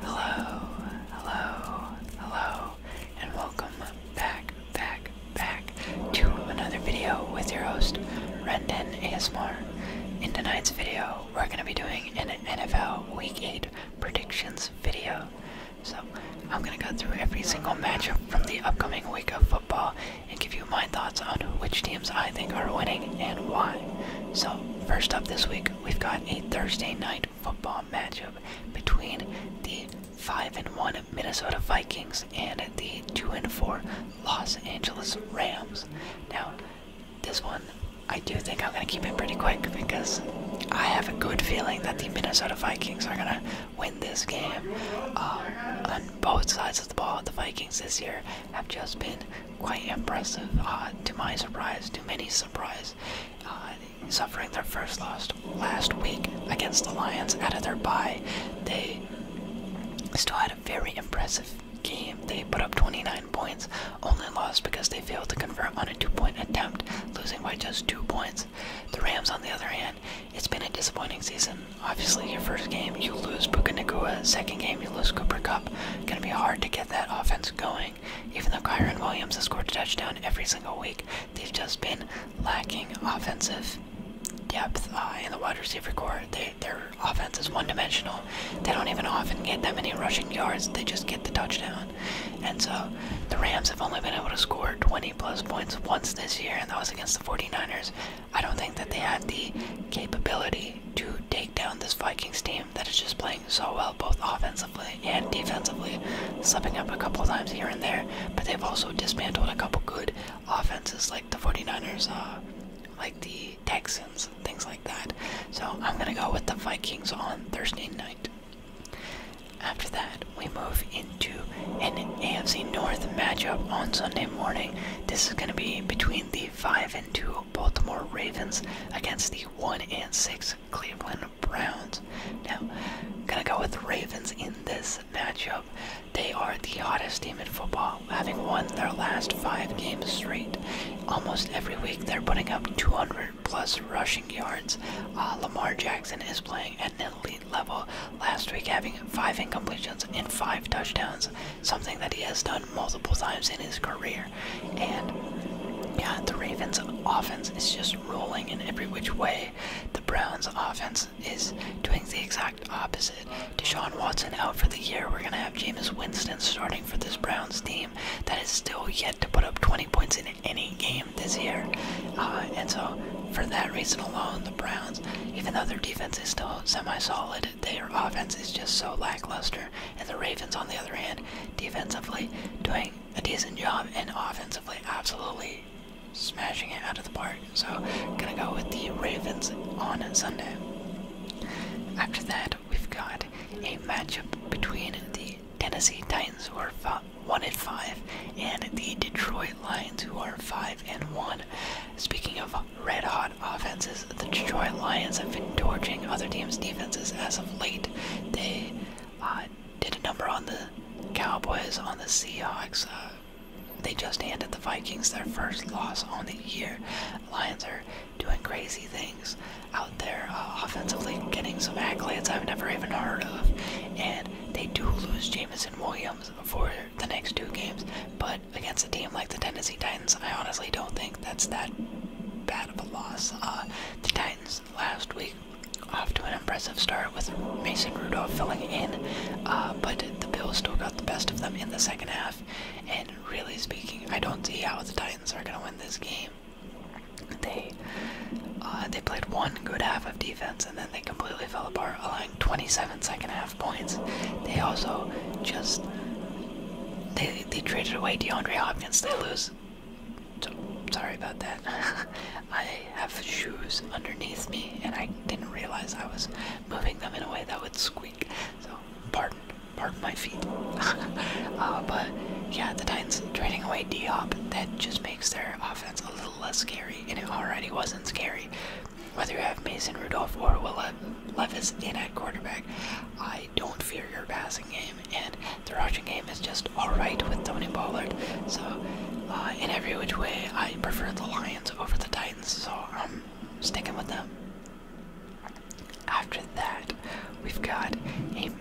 Hello, hello, hello, and welcome back, back, back to another video with your host, Rendon Asmar. In tonight's video, we're going to be doing an NFL Week 8 predictions video. So, I'm going to go through every single matchup from the upcoming week of football and give you my thoughts on which teams I think are winning and why. So, first up this week, we've got a Thursday night football matchup between the 5 and 1 Minnesota Vikings and the 2 and 4 Los Angeles Rams. Now, this one I do think I'm going to keep it pretty quick because I have a good feeling that the Minnesota Vikings are going to win this game. Uh, on both sides of the ball, the Vikings this year have just been quite impressive, uh, to my surprise, to many surprise, uh, suffering their first loss last week against the Lions out of their bye. They still had a very impressive game. They put up 29 points, only lost because they failed to convert on a two-point attempt, losing by just two points. The Rams, on the other hand, it's been a disappointing season. Obviously, your first game you lose Puka second game you lose Cooper Cup. Gonna be hard to get that offense going. Even though Kyron Williams has scored a touchdown every single week, they've just been lacking offensive depth uh, in the wide receiver core. their offense is one dimensional. They don't even often get that many rushing yards, they just get the touchdown. And so the Rams have only been able to score 20 plus points once this year, and that was against the 49ers. I don't think that they have the capability to take down this Vikings team that is just playing so well, both offensively and defensively, slipping up a couple times here and there. But they've also dismantled a couple good offenses, like the 49ers, uh, like the Texans, and things like that. So I'm going to go with the Vikings on Thursday night. After that, we move into an AFC North matchup on Sunday morning. This is going to be between the 5 and 2 Baltimore Ravens against the 1 and 6 Cleveland Browns. Now, gonna go with the Ravens in this matchup. They are the hottest team in football, having won their last five games straight. Almost every week, they're putting up 200 plus rushing yards. Uh, Lamar Jackson is playing at an elite level. Last week, having five incompletions and five touchdowns, something that he has done multiple times in his career here. And yeah, the Ravens' offense is just rolling in every which way. The Browns' offense is doing the exact opposite. Deshaun Watson out for the year. We're going to have Jameis Winston starting for this Browns team that is still yet to put up 20 points in any game this year. Uh, and so, for that reason alone, the Browns, even though their defense is still semi solid, their offense is just so lackluster and the Ravens, on the other hand, defensively doing a decent job and offensively absolutely smashing it out of the park. So, gonna go with the Ravens on Sunday. After that, we've got a matchup between the Tennessee Titans, who are one and five, and the Detroit Lions, who are five and one. Speaking of red hot offenses, the Detroit Lions have been torching other teams' defenses as late, they uh, did a number on the Cowboys, on the Seahawks. Uh, they just handed the Vikings their first loss on the year. Lions are doing crazy things out there uh, offensively, getting some accolades I've never even heard of. And they do lose Jamison Williams for the next two games, but against a team like the Tennessee Titans, I honestly don't think that's that bad of a loss. Uh, the Titans last week off to an impressive start with Mason Rudolph filling in, uh, but the Bills still got the best of them in the second half. And really speaking, I don't see how the Titans are going to win this game. They uh, they played one good half of defense and then they completely fell apart, allowing 27 second half points. They also just they they traded away DeAndre Hopkins. They lose sorry about that. I have shoes underneath me, and I didn't realize I was moving them in a way that would squeak. So, pardon, pardon my feet. Uh, but yeah, the Titans trading away Diop that just makes their offense a little less scary, and it already wasn't scary. Whether you have Mason Rudolph or Will Levis in at quarterback, I don't fear your passing game, and the rushing game is just alright with Tony Pollard. So, uh, in every which way, I prefer the Lions over the Titans, so I'm um, sticking with them. After that, we've got a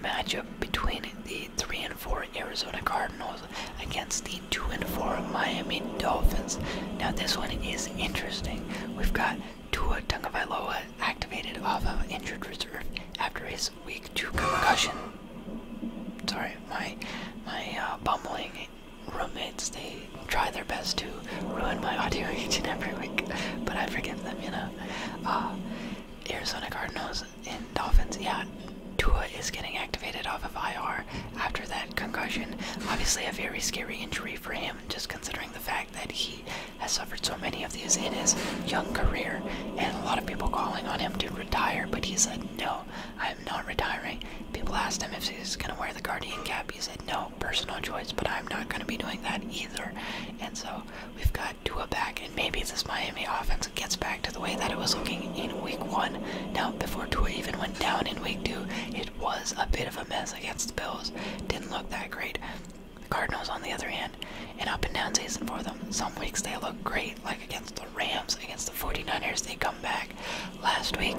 matchup between the 3 and 4 Arizona Cardinals against the 2 and 4 Miami Dolphins. Now, this one is interesting. We've got Tua Tungavailoa activated off of injured reserve after his week two concussion. Sorry, my my uh, bumbling roommates they try their best to ruin my audio each and every week, but I forgive them, you know. Uh, Arizona Cardinals and Dolphins, yeah. Tua is getting activated off of IR after that concussion. Obviously, a very scary injury for him, just considering the fact fact that he has suffered so many of these in his young career, and a lot of people calling on him to retire, but he said, No, I am not retiring. People asked him if he's going to wear the Guardian cap. He said, No, personal choice, but I'm not going to be doing that either. And so we've got Tua back, and maybe this Miami offense gets back to the way that it was looking in week one. Now, before Tua even went down in week two, it was a bit of a mess against the Bills. Didn't look that great. The Cardinals, on the other hand, an up and down season for them. Some weeks they look great, like against the Rams, against the 49ers, they come back. Last week,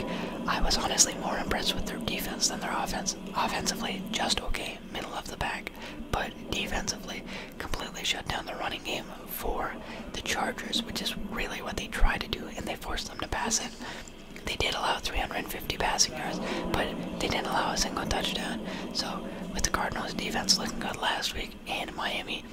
I was honestly more impressed with their defense than their offense. Offensively, just okay, middle of the pack, but defensively, completely shut down the running game for the Chargers, which is really what they try to do, and they forced them to pass it. They did allow 350 passing yards, but they didn't allow a single touchdown. So, with the Cardinals' defense looking good last week and Miami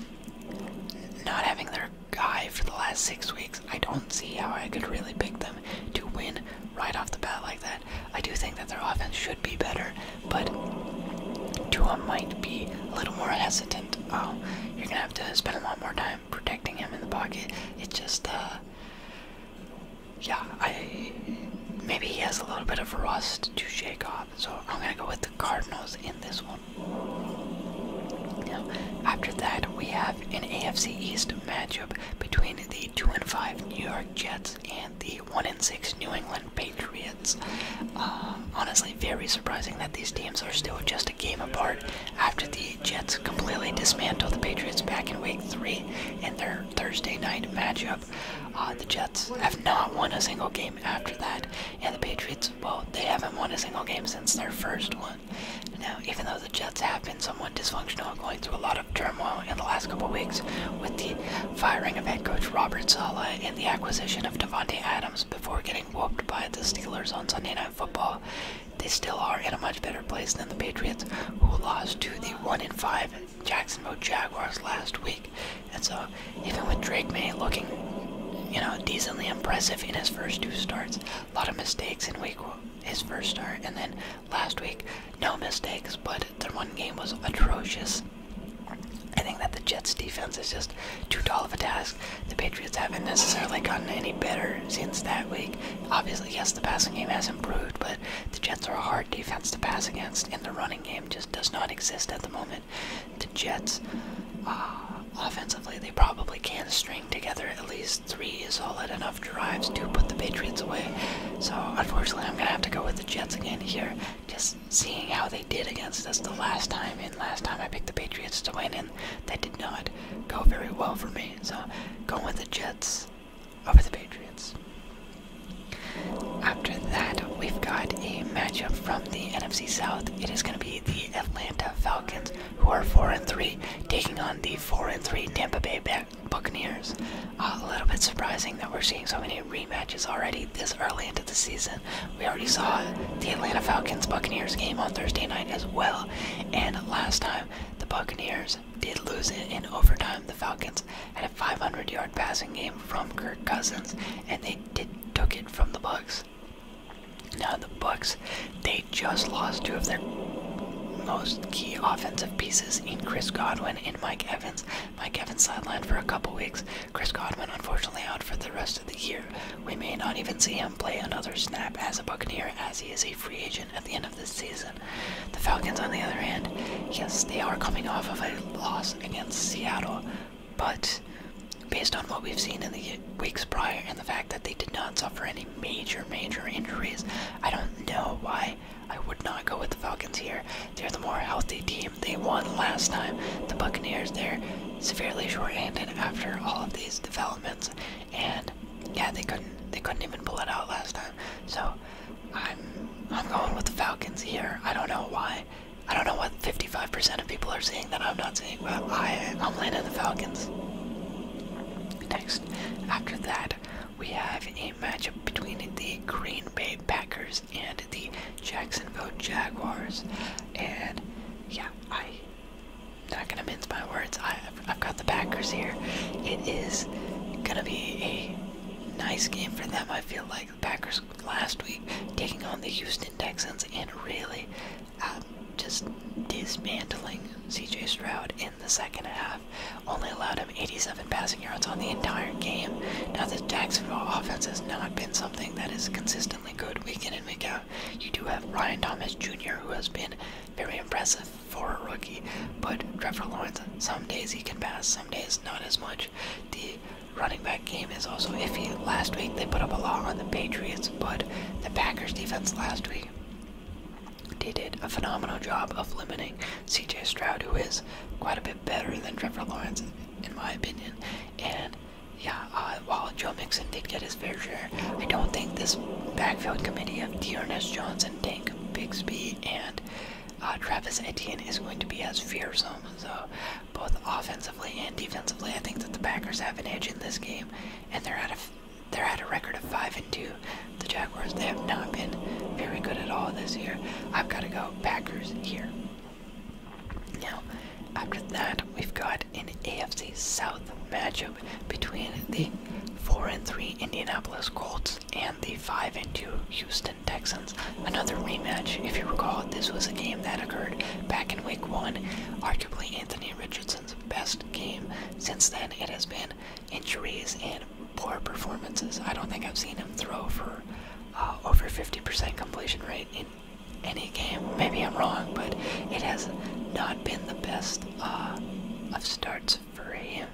not having their guy for the last six weeks, I don't see how I could really pick them to win right off the bat like that. I do think that their offense should be better, but Tua might be a little more hesitant. Oh, you're going to have to spend a lot more time protecting him in the pocket. It's just, uh, yeah, I maybe he has a little bit of rust to shake off, so I'm gonna go with the Cardinals in this one. Now, after that, we have an AFC East matchup between the two and five New York Jets and the one and six New England Patriots. Uh, honestly, very surprising that these teams are still just a game apart after the Jets completely dismantled the Patriots back in Week Three in their Thursday night matchup. Uh, the Jets have not won a single game after that, and the Patriots, well, they haven't won a single game since their first one. Now, even though the Jets have been somewhat dysfunctional, going through a lot of turmoil in the last couple weeks with the firing of head coach Robert Sala and the acquisition of Devontae Adams before getting whooped by the Steelers on Sunday Night Football, they still are in a much better place than the Patriots, who lost to the 1 in 5 Jacksonville Jaguars last week. And so, even with Drake May looking, you know, decently impressive in his first two starts, a lot of mistakes in week his first start, and then last week, no mistakes, but the one game was atrocious. I think that the Jets defense is just too tall of a task. The Patriots haven't necessarily gotten any better since that week. Obviously, yes, the passing game has improved, but the Jets are a hard defense to pass against, in the running game just does not exist at the moment. The Jets, uh, offensively, they probably can string together at least three solid enough drives to put the Patriots away. So, unfortunately, I'm going to have to go with the Jets again here. Just seeing how they did against us the last time, and last time I picked the Patriots to win, and that did not go very well for me. So, going with the Jets over the Patriots. After that, we've got a matchup from the NFC South. It is going to be the Atlanta Falcons, who are four and three, taking on the four and three Tampa Bay Buccaneers. a little bit surprising that we're seeing so many rematches already this early into the season. We already saw the Atlanta Falcons Buccaneers game on Thursday night as well, and last time the Buccaneers did lose it in overtime. The Falcons had 500 yard passing game from Kirk Cousins, and they took it from the Bucks. Now the Bucks, they just lost two of their most key offensive pieces in Chris Godwin and Mike Evans. Mike Evans sidelined for a couple weeks. Chris Godwin, unfortunately, out for the rest of the year. We may not even see him play another snap as a Buccaneer, as he is a free agent at the end of this season. The Falcons, on the other hand, yes, they are coming off of a loss against Seattle, but based on what we've seen in the weeks prior and the fact that they did not suffer any major, major injuries, I don't know why I would not go with the Falcons here. They're the more healthy team. They won last time. The Buccaneers, they're severely handed after all of these developments, and yeah, they couldn't they couldn't even pull it out last time. So I'm I'm going with the Falcons here. I don't know why. I don't know what 55% of people are seeing that I'm not seeing, but I I'm landing the Falcons. Next, after that, we have a matchup between the Green Bay Packers and the Jacksonville Jaguars, and yeah, I. Not gonna mince my words. I, I've got the Packers here. It is gonna be a nice game for them. I feel like Packers last week, taking on the Houston Texans and really um, just dismantling CJ Stroud in the second half. Only allowed him 87 passing yards on the entire game. Now, the Texans' offense has not been something that is consistently good week in and week out. You do have Ryan Thomas Jr., who has been very impressive for a rookie, but Trevor Lawrence, some days he can pass, some days not as much. The running back game is also iffy. Last week they put up a lot on the Patriots, but the Packers defense last week they did a phenomenal job of limiting CJ Stroud, who is quite a bit better than Trevor Lawrence, in my opinion. And yeah, uh, while Joe Mixon did get his fair share, I don't think this backfield committee of Dearness Johnson, Tank Bixby, and uh, Travis Etienne is going to be as fearsome. So, both offensively and defensively, I think that the Packers have an edge in this game, and they're at a they're at a record of five and two. The Jaguars they have not been very good at all this year. I've got to go Packers here. Now, after that, we've got an AFC South matchup between the four and three Indianapolis Colts and the five and two Houston. Texans. Another rematch. If you recall, this was a game that occurred back in week one, arguably Anthony Richardson's best game. Since then, it has been injuries and poor performances. I don't think I've seen him throw for uh, over 50% completion rate in any game. Maybe I'm wrong, but it has not been the best uh, of starts for him.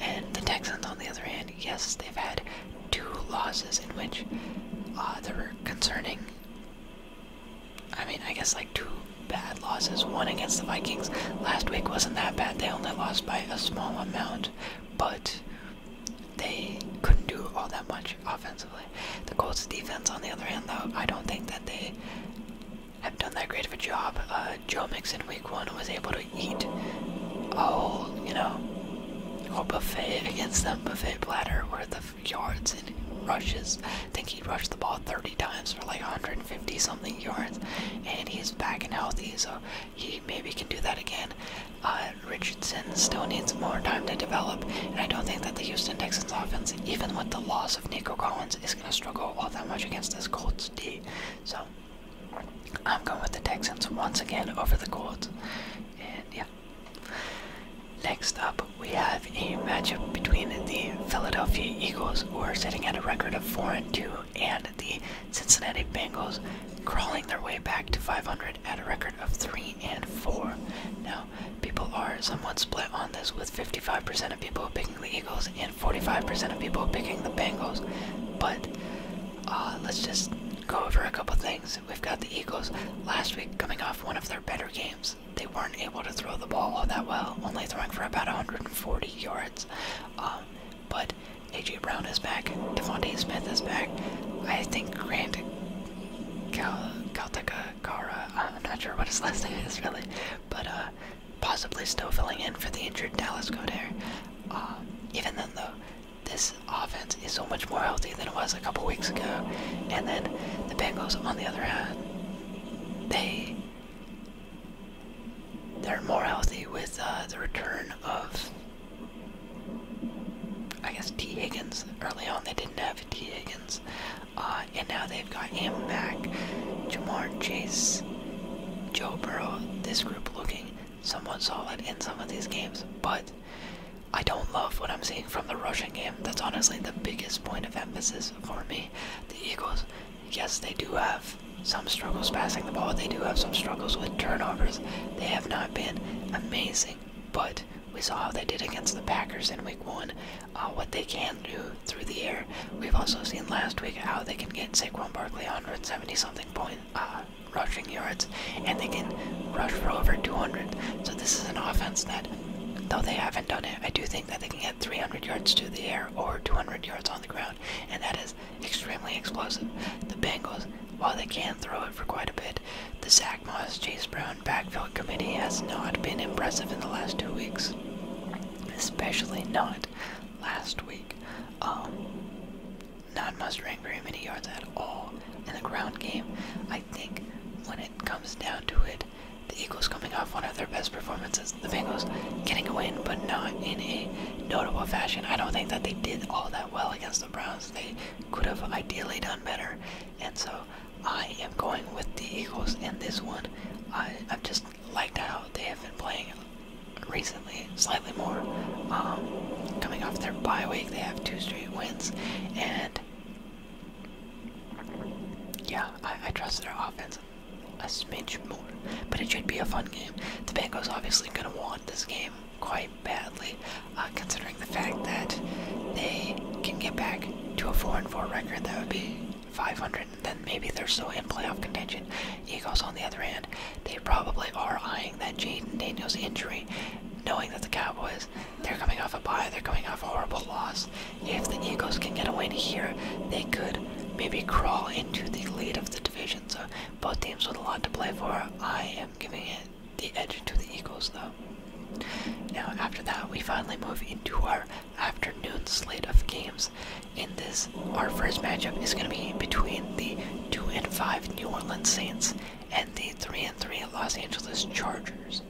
And the Texans, on the other hand, yes, they've had two losses in which uh, there were concerning. I mean, I guess like two bad losses. One against the Vikings last week wasn't that bad. They only lost by a small amount, but they couldn't do all that much offensively. The Colts' defense, on the other hand, though, I don't think that they have done that great of a job. Uh, Joe Mixon, week one, was able to eat a whole, you know, whole buffet against that buffet platter worth of yards and rushes. think he rushed the ball 30 times for like 150 something yards, and he's back and healthy, so he maybe can do that again. Uh, Richardson still needs more time to develop, and I don't think that the Houston Texans offense, even with the loss of Nico Collins, is going to struggle all that much against this Colts D. So I'm going with the Texans once again over the Colts. And yeah. Next up, we have a matchup between the Philadelphia Eagles, who are sitting at a record of 4 and 2, and the Cincinnati Bengals, crawling their way back to 500 at a record of 3 and 4. Now, people are somewhat split on this, with 55% of people picking the Eagles and 45% of people picking the Bengals. But uh, let's just go over a couple things. We've got the Eagles last week coming off one of their better games. They weren't able to throw the ball all that well, only throwing for about 140 yards. Um, but A.J. Brown is back. Devontae Smith is back. I think Grant Cal Caltacakara, I'm not sure what his last name is really, but uh, possibly still filling in for the injured Dallas Goddard. Uh, even then, though, this offense is so much more healthy than it was a couple weeks ago. And then the Bengals, on the other hand, they they're more healthy with uh, the return of I guess T Higgins. Early on, they didn't have T Higgins, uh, and now they've got him back. Jamar Chase, Joe Burrow. This group looking somewhat solid in some of these games, but I don't love what I'm seeing from the rushing game. That's honestly the biggest point of emphasis for me. The Eagles, yes, they do have some struggles passing the ball. They do have some struggles with turnovers. They have not been amazing, but we saw how they did against the Packers in Week One. Uh, what they can do through the air. We've also seen last week how they can get Saquon Barkley seventy something point, uh, rushing yards, and they can rush for over 200. So this is an offense that, though they haven't done it, I do think that they can get 300 yards to the air or 200 yards on the ground, and that is extremely explosive. The Bengals, while they can throw it for quite a bit, the Zach Moss Chase Brown backfield committee has not been impressive in the last two weeks, especially not last week. Um, not mustering very many yards at all in the ground game. I think when it comes down to it, the Eagles coming off one of their best performances, the Bengals getting a win, but not in a notable fashion. I don't think that they did all that well against the Browns. They could have ideally done better, and so I am going with the Eagles in this one. I, I've just liked how they have been playing recently slightly more. Um, coming off their bye week, they have two straight wins, and yeah, I, trust their offense a smidge more. But it should be a fun game. The Bengals obviously gonna want this game quite badly, uh, considering the fact that they can get back to a four and four record. That would be 500, and then maybe they're still in playoff contention. Eagles, on the other hand, they probably are eyeing that Jaden Daniels injury knowing that the Cowboys, they're coming off a bye, they're coming off a horrible loss. If the Eagles can get a win here, they could maybe crawl into the lead of the division. So both teams with a lot to play for. I am giving it the edge to the Eagles, though. Now, after that, we finally move into our afternoon slate of games. In this, our first matchup is going to be between the 2 and 5 New Orleans Saints and the 3 and 3 Los Angeles Chargers.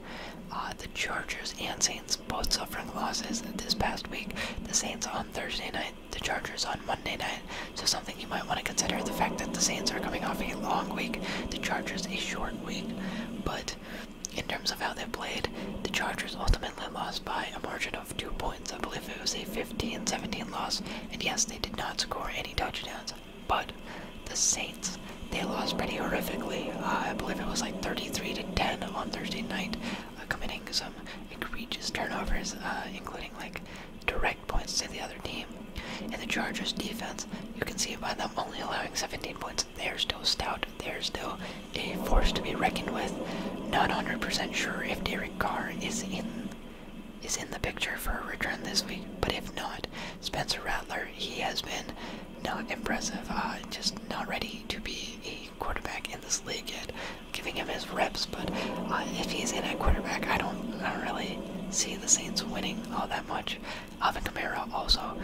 Uh, the Chargers and Saints both suffering losses this past week. The Saints on Thursday night, the Chargers on Monday night. So, something you might want to consider the fact that the Saints are coming off a long week, the Chargers a short week. But in terms of how they played, the Chargers ultimately lost by a margin of two points. I believe it was a 15 17 loss. And yes, they did not score any touchdowns. But the Saints, they lost pretty horrifically. Uh, I believe it was like 33 to 10 on Thursday night, uh, committing some egregious turnovers, uh, including like direct points to the other team. And the Chargers defense, you can see by them only allowing 17 points, they're still stout. They're still a force to be reckoned with. Not 100% sure if Derek Carr is in is in the picture for a return this week, but if not, Spencer Rattler, he has been not impressive, uh, just not ready to be a quarterback in this league yet. Giving him his reps, but uh, if he's in at quarterback, I don't, I don't really see the Saints winning all that much. Alvin Kamara also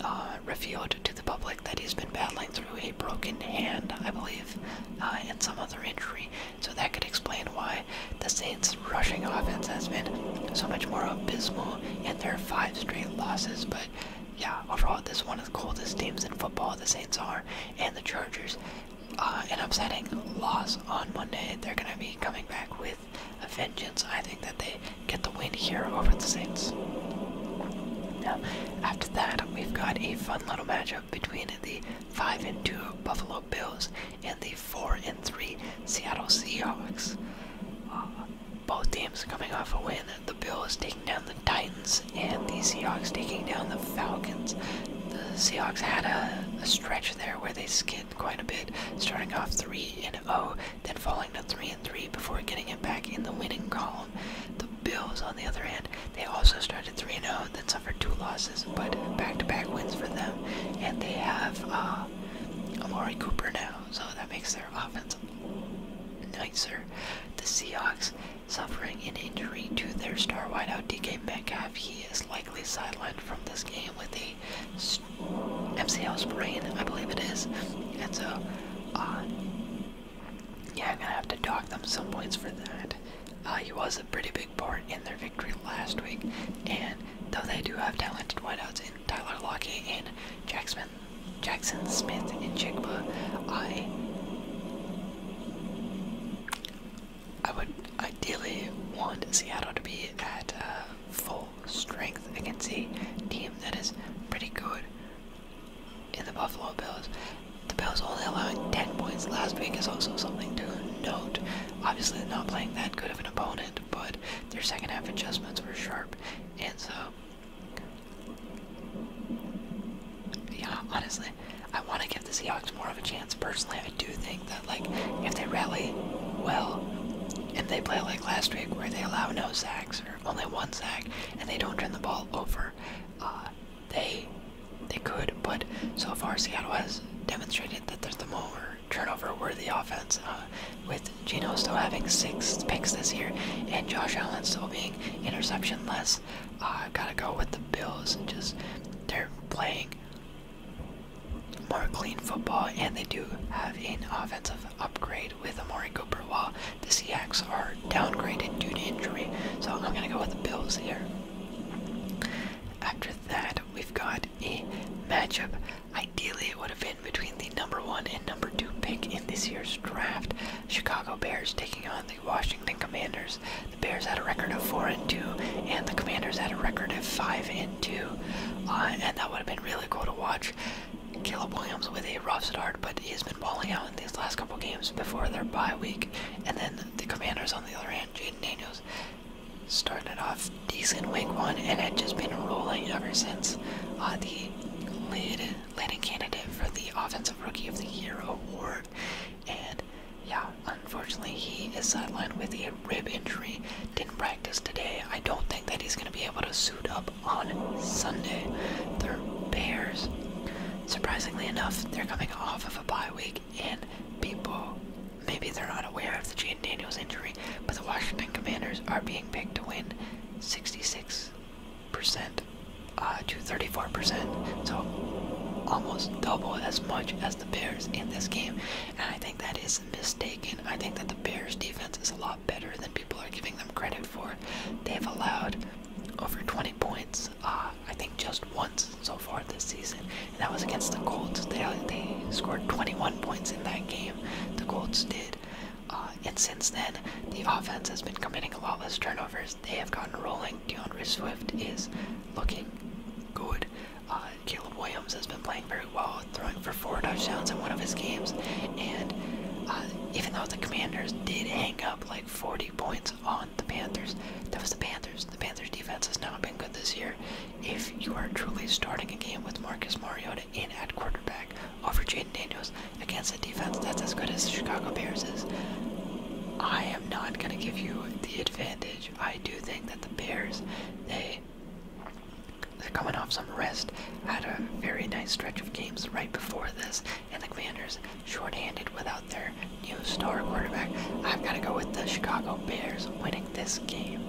uh, revealed to the public that he's been battling through a broken hand, I believe, and some other injury. So that could explain why the Saints' rushing offense has been so much more abysmal in their five straight losses. But yeah, overall, this is one of the coldest teams in football. The Saints are, and the Chargers. Uh, an upsetting loss on Monday. They're going to be coming back with a vengeance. I think that they get the win here over the Saints. Now, after that, we've got a fun little matchup between the 5 and 2 Buffalo Bills, and the 4 and 3 Seattle Seahawks. Uh, both teams coming off a win. The Bills taking down the Titans, and the Seahawks taking down the Falcons. The Seahawks had a, stretch there where they skinned quite a bit, starting off 3 and 0, then falling to 3 and 3 before getting it back in the winning column. The Bills, on the other hand, they also started 3 0, then for two losses, but back-to-back wins for them, and they have uh, Laurie Cooper now, so that makes their offense nicer. The Seahawks suffering an injury to their star wideout DK Metcalf. He is likely sidelined from this game with the MCL sprain, I believe it is, and so uh, yeah, I'm gonna have to dock them some points for that. Uh, he was a pretty big big part in their victory last week. And though they do have talented wideouts in Tyler Lockett and Jackson, Smith and Chigba, I I would ideally want Seattle to be at uh, full strength I can see team that is pretty good in the Buffalo Bills. The Bills only allowing 10 points last week is also something to note. Obviously, they're not playing that good of an opponent, but their second half adjustments were sharp, and so yeah, honestly, I want to give the Seahawks more of a chance. Personally, I do think that like if they rally well and they play like last week where they allow no sacks or only one sack and they don't turn the ball over, uh, they they could. But so far, Seattle has demonstrated that they're the more turnover worthy offense, uh, with Geno still having six picks this year and Josh Allen still being interception less. Uh, gotta go with the Bills and just they're playing more clean football and they do have an offensive upgrade with Amari Cooper while the Seahawks are downgraded due to injury. So I'm gonna go with the Bills here. After that, we've got what a matchup. Ideally, it would have been between the number one and number two pick in this year's draft. Chicago Bears taking on the Washington Commanders. The Bears had a record of four and two, and the Commanders had a record of five and two. Uh, and that would have been really cool to watch. Caleb Williams with a rough start, but he's been balling out in these last couple games before their bye week. And then the Commanders on the other hand, Jaden Daniels started off decent week one and had just been rolling ever since. Uh, the lead, leading candidate for the Offensive Rookie of the Year award. And yeah, unfortunately, he is sidelined with a rib injury. Didn't practice today. I don't think that he's going to be able to suit up on Sunday. They're Bears. Surprisingly enough, they're coming off of a bye week, and people Maybe they're not aware of the Jaden Daniels injury, but the Washington Commanders are being picked to win 66% uh, to 34%. So almost double as much as the Bears in this game. And I think that is mistaken. I think that the Bears defense is a lot better than people are giving them credit for. They've allowed over 20 points, uh, I think just once so far this season and that was against the Colts. They they scored 21 points in that game. The Colts did. Uh, and since then, the offense has been committing a lot less turnovers. They have gotten rolling. DeAndre Swift is looking good. Uh, Caleb Williams has been playing very well, throwing for four touchdowns in one of his games. And uh, even though the Commanders did hang up like 40 points on the Panthers, that was the Panthers. The Panthers defense has not been good this year if you are truly starting a game with Marcus Mariota in at quarterback over Jaden Daniels against a defense that's as good as the Chicago Bears is, I am not going to give you the advantage. I do think that the Bears, they, they're coming off some rest, at a very nice stretch of games right before this, and the Commanders short-handed without their new star quarterback. I've got to go with the Chicago Bears winning this game.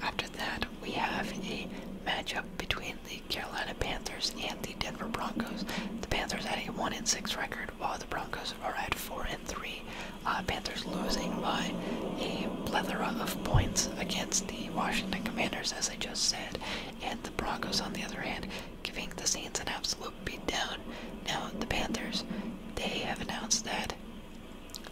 After that, we have a matchup between the Carolina Panthers and the Denver Broncos. The Panthers had a one and six record, while the Broncos are at four and three. Uh, Panthers losing by a plethora of points against the Washington Commanders, as I just said, and the Broncos, on the other hand, giving the Saints an absolute beatdown. Now the Panthers, they have announced that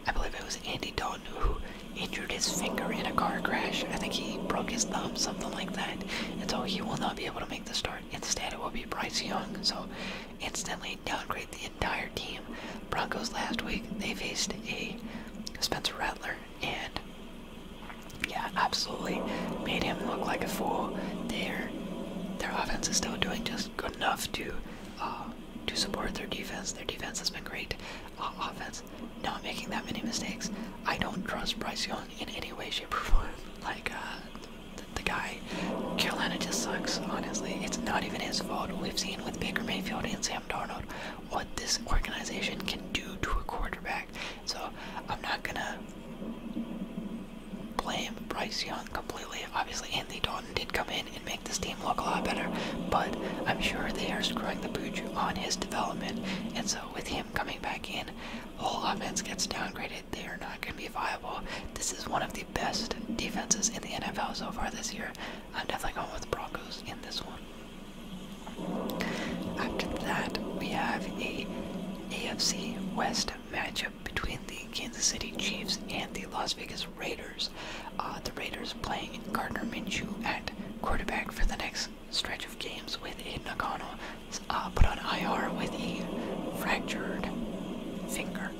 I believe it was Andy Dalton who injured his finger in a car crash. I think he broke his thumb, something like that. And so he will not be able to make the start. Instead, it will be Bryce Young. So instantly downgrade the entire team. Broncos last week, they faced a Spencer Rattler and yeah, absolutely made him look like a fool. Their their offense is still doing just good enough to uh, to support their defense. Their defense has been great. Uh, offense, not making that many mistakes. I don't trust Bryce Young in any way, shape, or form. Like, uh, the, the guy, Carolina just sucks, honestly. It's not even his fault. We've seen with Baker Mayfield and Sam Darnold what this organization can do to a quarterback. So, I'm not gonna blame Bryce Young completely. Obviously, Anthony Dalton did come in and make this team look a lot better, but I'm sure they are screwing the pooch on his development. And so, with him coming back in, the whole offense gets downgraded. They are not going to be viable. This is one of the best defenses in the NFL so far this year. I'm definitely going with Broncos in this one. After that, we have a AFC West matchup between the Kansas City Chiefs and the Las Vegas Vegas Raiders. Uh, the Raiders playing Gardner Minshew at quarterback for the next stretch of games with Aiden O'Connell uh, put on IR with a fractured finger.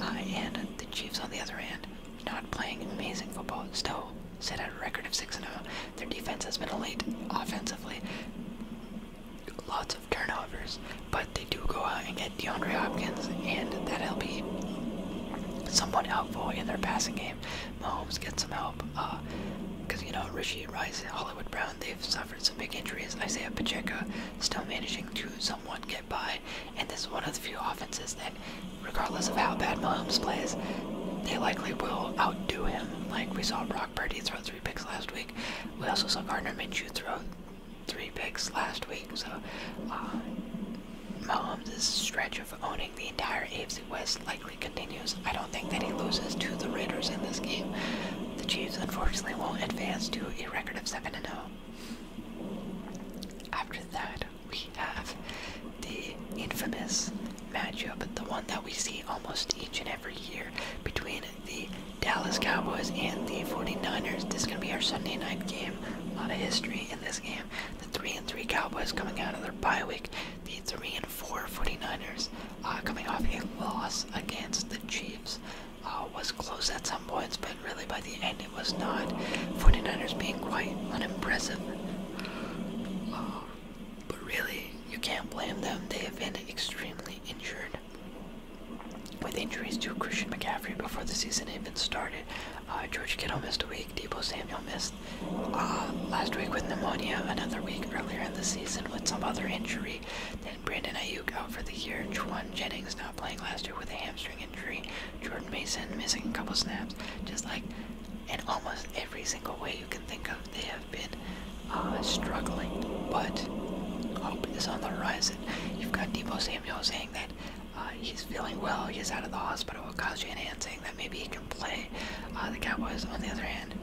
Uh, and the Chiefs, on the other hand, not playing amazing football, still sit at a record of 6 0. Their defense has been elite offensively. Lots of turnovers, but they do go out and get DeAndre Hopkins, and that'll be somewhat helpful in their passing game. Mahomes gets some help because, uh, you know, Rishi Rice, Hollywood Brown, they've suffered some big injuries. Isaiah Pacheco still managing to somewhat get by, and this is one of the few offenses that, regardless of how bad Mahomes plays, they likely will outdo him. Like we saw Brock Purdy throw three picks last week. We also saw Gardner Minshew throw three picks last week, so uh, Mahomes' stretch of owning the entire AFC West likely continues. I don't think that he loses to the Raiders in this game. The Chiefs, unfortunately, won't advance to a record of 7-0. After that, we have the infamous matchup, the one that we see almost each and every year between the Dallas Cowboys and the 49ers. This is going to be our Sunday night game. A lot of history in this game. The three and three Cowboys coming out of their bye week. The three and four 49ers uh, coming off a loss against the Chiefs. Uh, was close at some points, but really by the end it was not. 49ers being quite unimpressive. Uh, but really, you can't blame them. They have been extremely injured. With injuries to Christian McCaffrey before the season even started, uh, George Kittle missed a week. Debo Samuel missed uh, last week with pneumonia. Another week earlier in the season with some other injury. Then Brandon Ayuk out for the year. Juwan Jennings not playing last year with a hamstring injury. Jordan Mason missing a couple snaps. Just like in almost every single way you can think of, they have been uh, struggling. But hope is on the horizon. You've got Debo Samuel saying that uh, he's feeling well, he's out of the hospital, Kaji and Ann saying that maybe he can play. Uh, the Cowboys, on the other hand,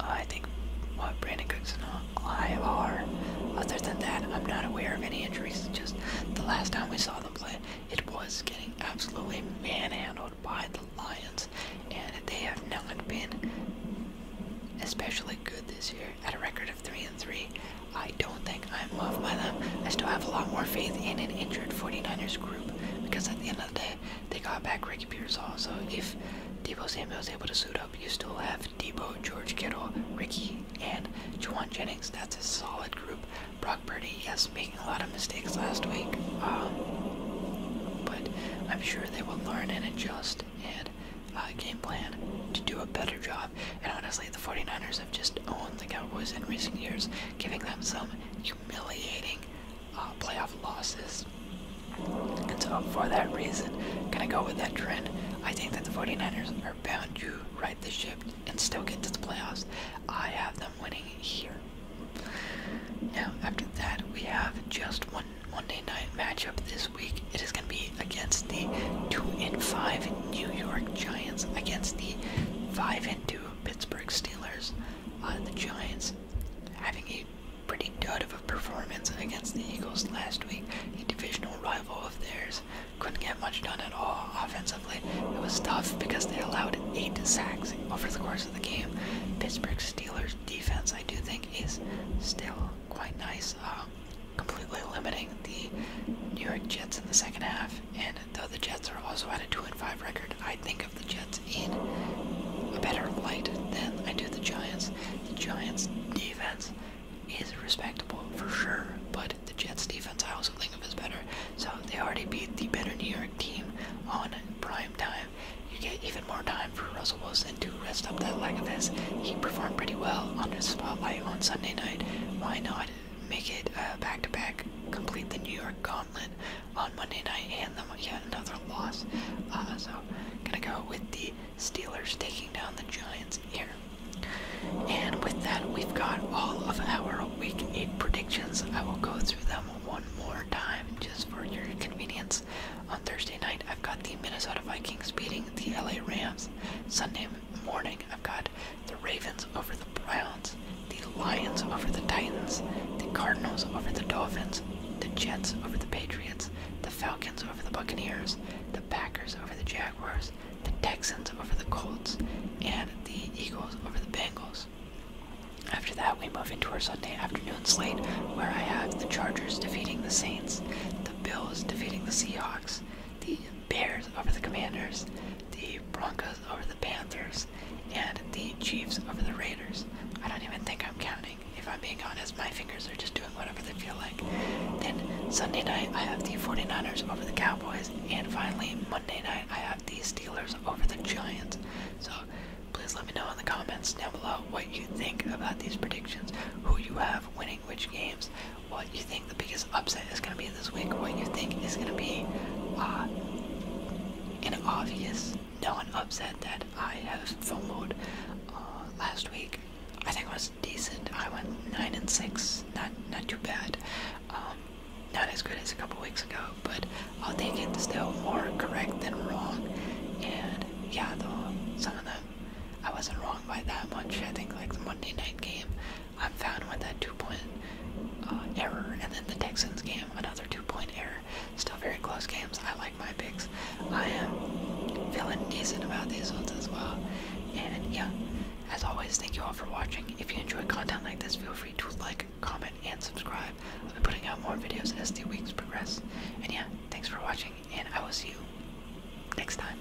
uh, I think what well, Brandon Cook's I IR. Other than that, I'm not aware of any injuries. Just the last time we saw them play, it was getting absolutely manhandled by the Lions, and they have not been especially good this year at a record of 3 and 3 I don't think I'm loved by them. I still have a lot more faith in an injured 49ers group because at the end of the day, they got back Ricky Pearsall. So if Debo Samuel is able to suit up, you still have Debo, George Kittle, Ricky, and Juwan Jennings. That's a solid group. Brock Purdy, yes, making a lot of mistakes last week, um, but I'm sure they will learn and adjust. And uh, game plan to do a better job. And honestly, the 49ers have just owned the Cowboys in recent years, giving them some humiliating uh, playoff losses. And so, for that reason, gonna go with that trend. I think that the 49ers are bound to ride the ship and still get to the playoffs. I have them winning here. Now, after that, we have just one Monday night matchup this week. It is going to be against the 2 and 5 New York Giants, against the 5 and 2 Pittsburgh Steelers. Uh, the Giants having a pretty dud of a performance against the Eagles last week, a divisional rival of theirs. Couldn't get much done at all offensively. It was tough because they allowed eight sacks over the course of the game. Pittsburgh Steelers defense, I do think, is still quite nice. Um, completely limiting the New York Jets in the second half. And though the Jets are also at a 2 and 5 record, I think of the Jets in a better light than I do the Giants. The Giants' defense is respectable for sure, but the Jets' defense I also think of as better. So they already beat the better New York team on prime time. You get even more time for Russell Wilson to rest up that leg of his. He performed pretty well on his spotlight on Sunday night. Why not make it uh, back to back? Complete the New York gauntlet on Monday night and then yet another loss. Uh, so, gonna go with the Steelers taking down the Giants here. And with that, we've got all of our Week 8 predictions. I will go through them one more time just for your convenience. On Thursday night, I've got the Minnesota Vikings beating the LA Rams. Sunday morning, I've got the Ravens over the Browns, the Lions over the Titans, the Cardinals over the Dolphins, the Jets over the Patriots, the Falcons over the Buccaneers, the Packers over the Jaguars, the Texans over the Colts, and the Eagles over the Bengals. After that, we move into our Sunday afternoon slate where I have the Chargers defeating the Saints, the Bills defeating the Seahawks, the Bears over the Commanders, the Broncos over the Panthers, and the Chiefs over the Raiders. I don't even think I'm counting. If I'm being honest, my fingers are just doing whatever they feel like. Then Sunday night, I have the 49ers over the Cowboys. And finally, Monday night, I have the Steelers over the Giants. So please let me know in the comments down below what you think about these predictions, who you have winning which games, what you think the biggest upset is going to be this week, what you think is going to be uh, an obvious no non upset that I have followed uh, last week. I think it was decent. I went nine and six, not not too bad. Um, not as good as a couple weeks ago, but I'll take it. Still more correct than wrong. And yeah, though some of them I wasn't wrong by that much. I think like the Monday night game I'm found with that two-point uh, error, and then the Texans game, another two-point error. Still very close games. I like my picks. I am feeling decent about these ones as well. And yeah, as always, thank you all for watching. If you enjoy content like this, feel free to like, comment, and subscribe. I'll be putting out more videos as the weeks progress. And yeah, thanks for watching, and I will see you next time.